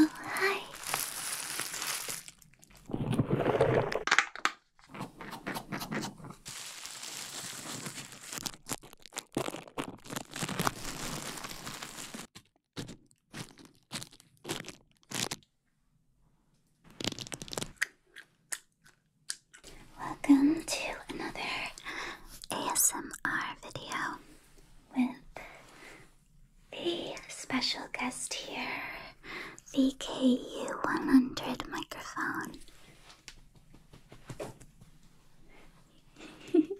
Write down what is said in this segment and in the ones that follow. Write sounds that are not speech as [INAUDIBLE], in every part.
Oh, hi. Welcome to another ASMR video with the special guest here, the KU100 microphone. [LAUGHS]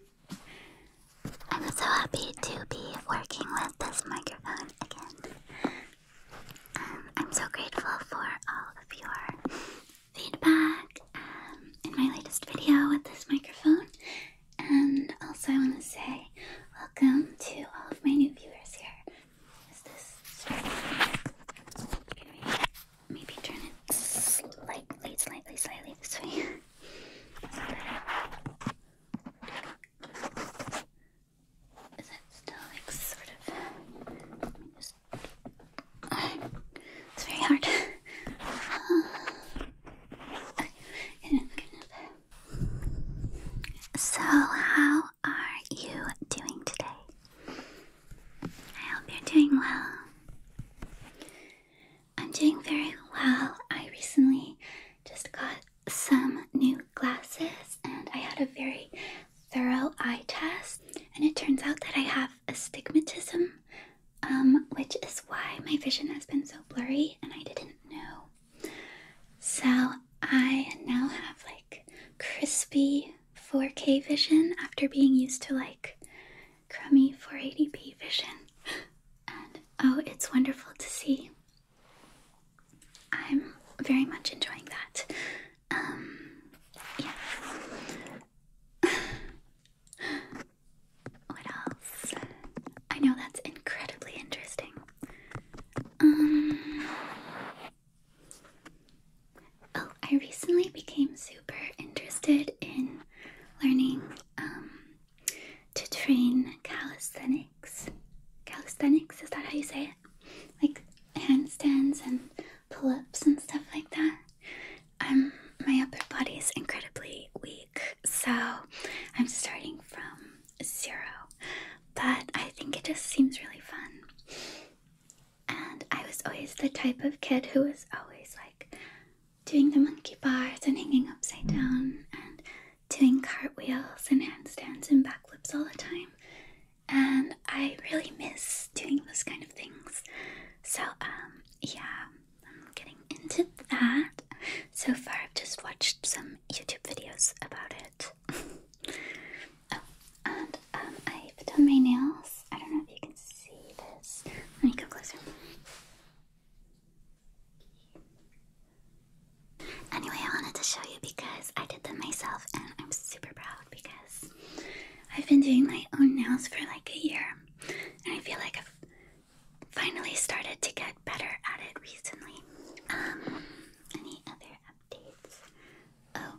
I'm so happy to be working with this microphone again. Um, I'm so grateful for all of your feedback um, in my latest video with this microphone. And also, I want to say welcome to all of my new viewers here. Is this Maybe turn it slightly, slightly, slightly this way. It's very hard. so, how are you doing today? I hope you're doing well. I'm doing very well. I recently just got some new glasses and I had a very thorough eye test and it turns out that I have astigmatism um, which is why my vision has been so blurry and I didn't know. So I now have like crispy 4K vision after being used to like crummy 480p vision. [GASPS] And oh, it's wonderful to see. I'm very much enjoying that. Um, yeah. [SIGHS] what else? I know that's incredibly interesting. Um, oh, I recently became super interested in learning um, to train calisthenics. Calisthenics, is that how you say it? Like handstands and pull ups and stuff like that. Um, my upper body is incredibly weak, so I'm starting from zero. But I think it just seems really fun. And I was always the type of kid who was always like doing the monkey bars and hanging upside down and doing cartwheels and handstands and backflips all the time. And I really miss doing those kind of things. So, um, yeah, I'm getting into that. So far, I've just watched some YouTube videos about it. [LAUGHS] oh, and um, I've done my nails. I don't know if you can see this. Let me go closer. Anyway, I wanted to show you because I did them myself and I'm super proud because I've been doing my own nails for like a year and I feel like I've finally started to get better at it recently. Um, any other updates? Oh,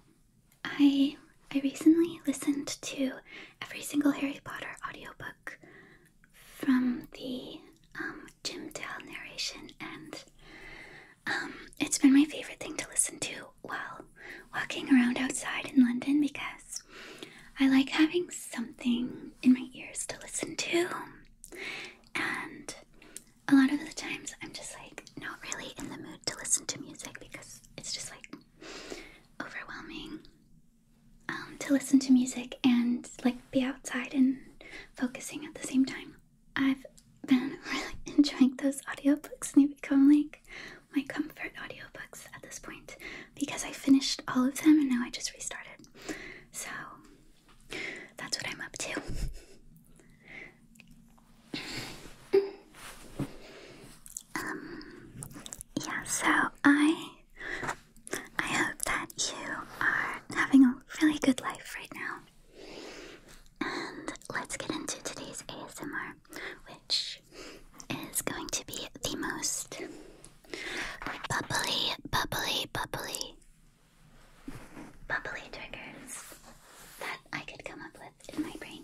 I I recently listened to every single Harry Potter audiobook from the um, Jim Dale narration, and um, it's been my favorite thing to listen to while walking around outside in London because I like having something in my ears to listen to, and a lot of the times I'm just like not really in the mood to listen to music because it's just like overwhelming um, to listen to music and like be outside and focusing at the same time. I've been [LAUGHS] really enjoying those audiobooks and they become like my comfort audiobooks at this point because I finished all of them and now I just restarted. So that's what I'm up to. [LAUGHS] Um, yeah, so I I hope that you are having a really good life right now. And let's get into today's ASMR, which is going to be the most bubbly, bubbly, bubbly, bubbly triggers that I could come up with in my brain.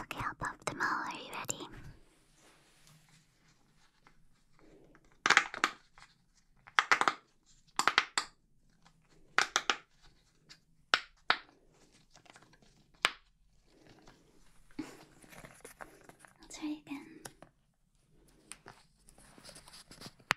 Okay, I'll pop them all. Are you ready? I'll try again.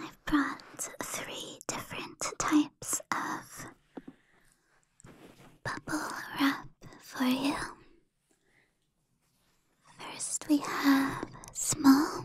I've brought three different types of bubble wrap for you. First, we have small.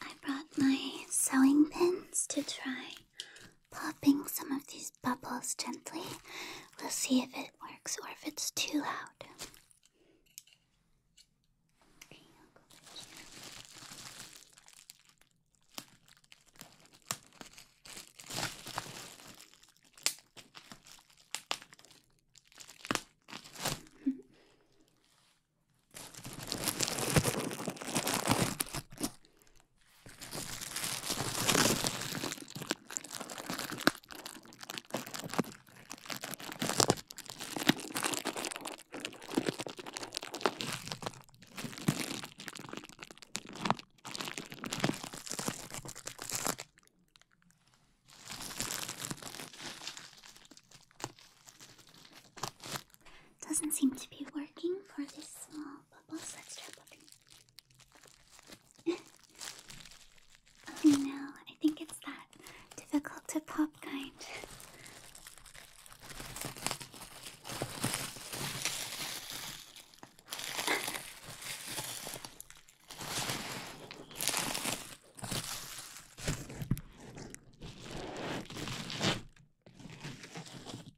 I brought my sewing pins to try popping some of these bubbles gently. We'll see if it works or if it's too loud. Doesn't seem to be working for this small bubble, let's try popping oh no, I think it's that difficult to pop kind.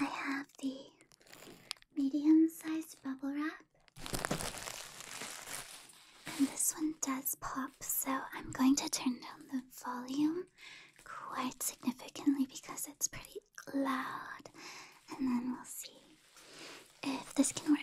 I have the medium sized bubble wrap. And this one does pop, so I'm going to turn down the volume quite significantly because it's pretty loud. And then we'll see if this can work.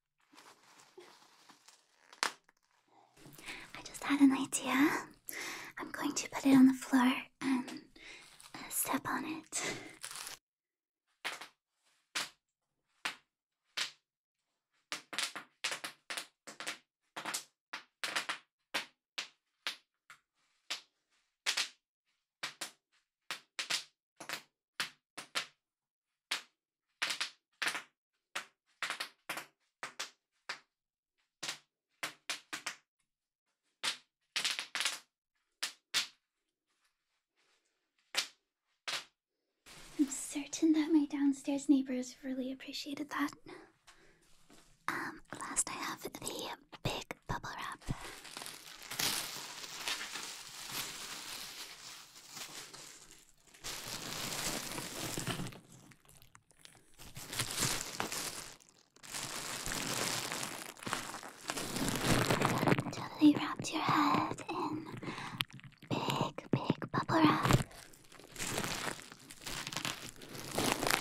I just had an idea. I'm going to put it on the floor and uh, step on it. I'm certain that my downstairs neighbors really appreciated that. Um, last I have the big bubble wrap. Totally wrapped your head in big, big bubble wrap.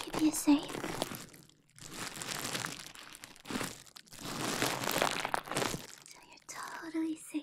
Keep you safe. So you're totally safe.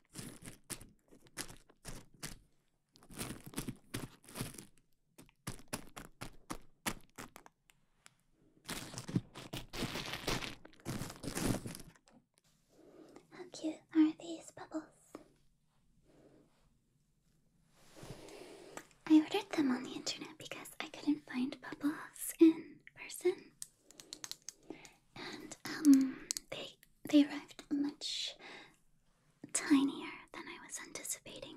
How cute are these bubbles? I ordered them on the internet because I couldn't find bubbles in person. And um they they arrived much tinier than I was anticipating.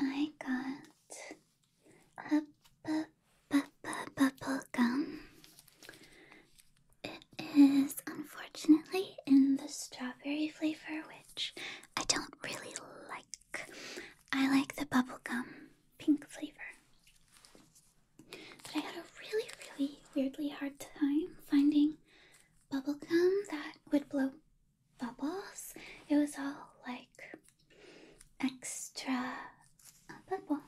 I got bu bu bu bubble gum. It is unfortunately in the strawberry flavor, which I don't really like. I like the bubblegum pink flavor. But I had a really, really weirdly hard time finding bubblegum that would blow bubbles. It was all like extra uh, bubble.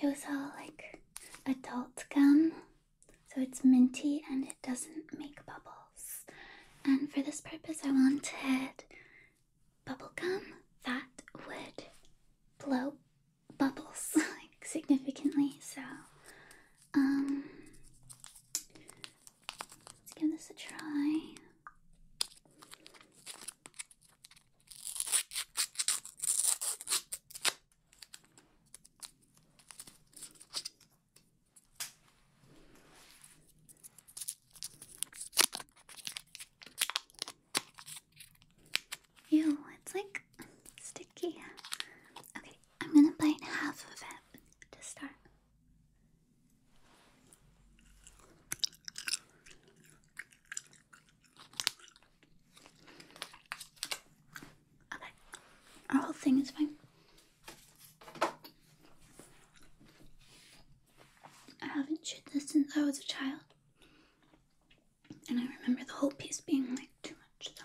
It was all like adult gum. So it's minty and it doesn't make bubbles. And for this purpose, I wanted bubble gum that would blow bubbles [LAUGHS] like significantly. So, um, Let's give this a try. Ew, it's like sticky. Okay, I'm gonna bite half of it to start our whole thing is fine. I haven't chewed this since I was a child, and I remember the whole piece being like too much. So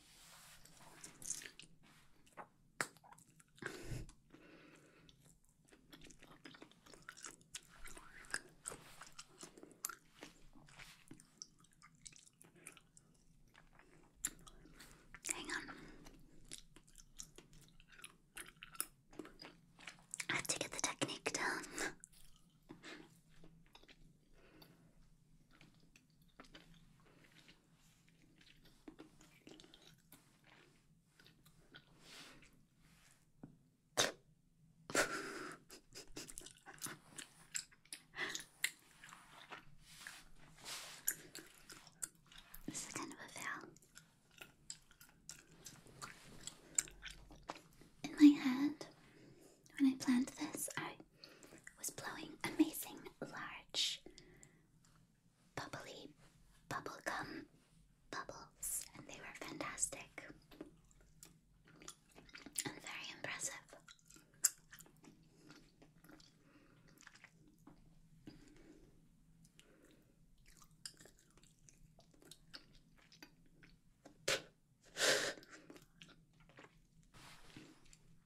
Hang on. have to get the technique down this is kind of a fail. In my head, when I planned this, I was blowing amazing, large, bubbly gum bubbles, and they were fantastic and very impressive.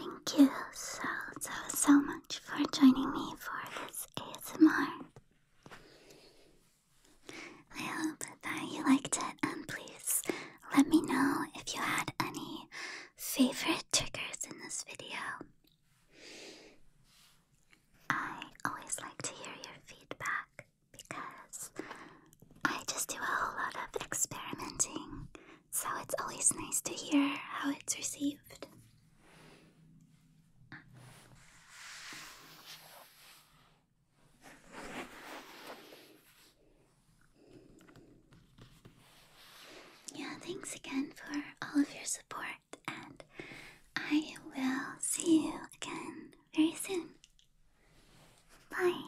Thank you so, so, so much for joining me for this ASMR. I hope that you liked it, and please let me know if you had any favorite triggers in this video. I always like to hear your feedback because I just do a whole lot of experimenting, so it's always nice to hear how it's received. Yeah, thanks again for all of your support and I will see you again very soon. Bye.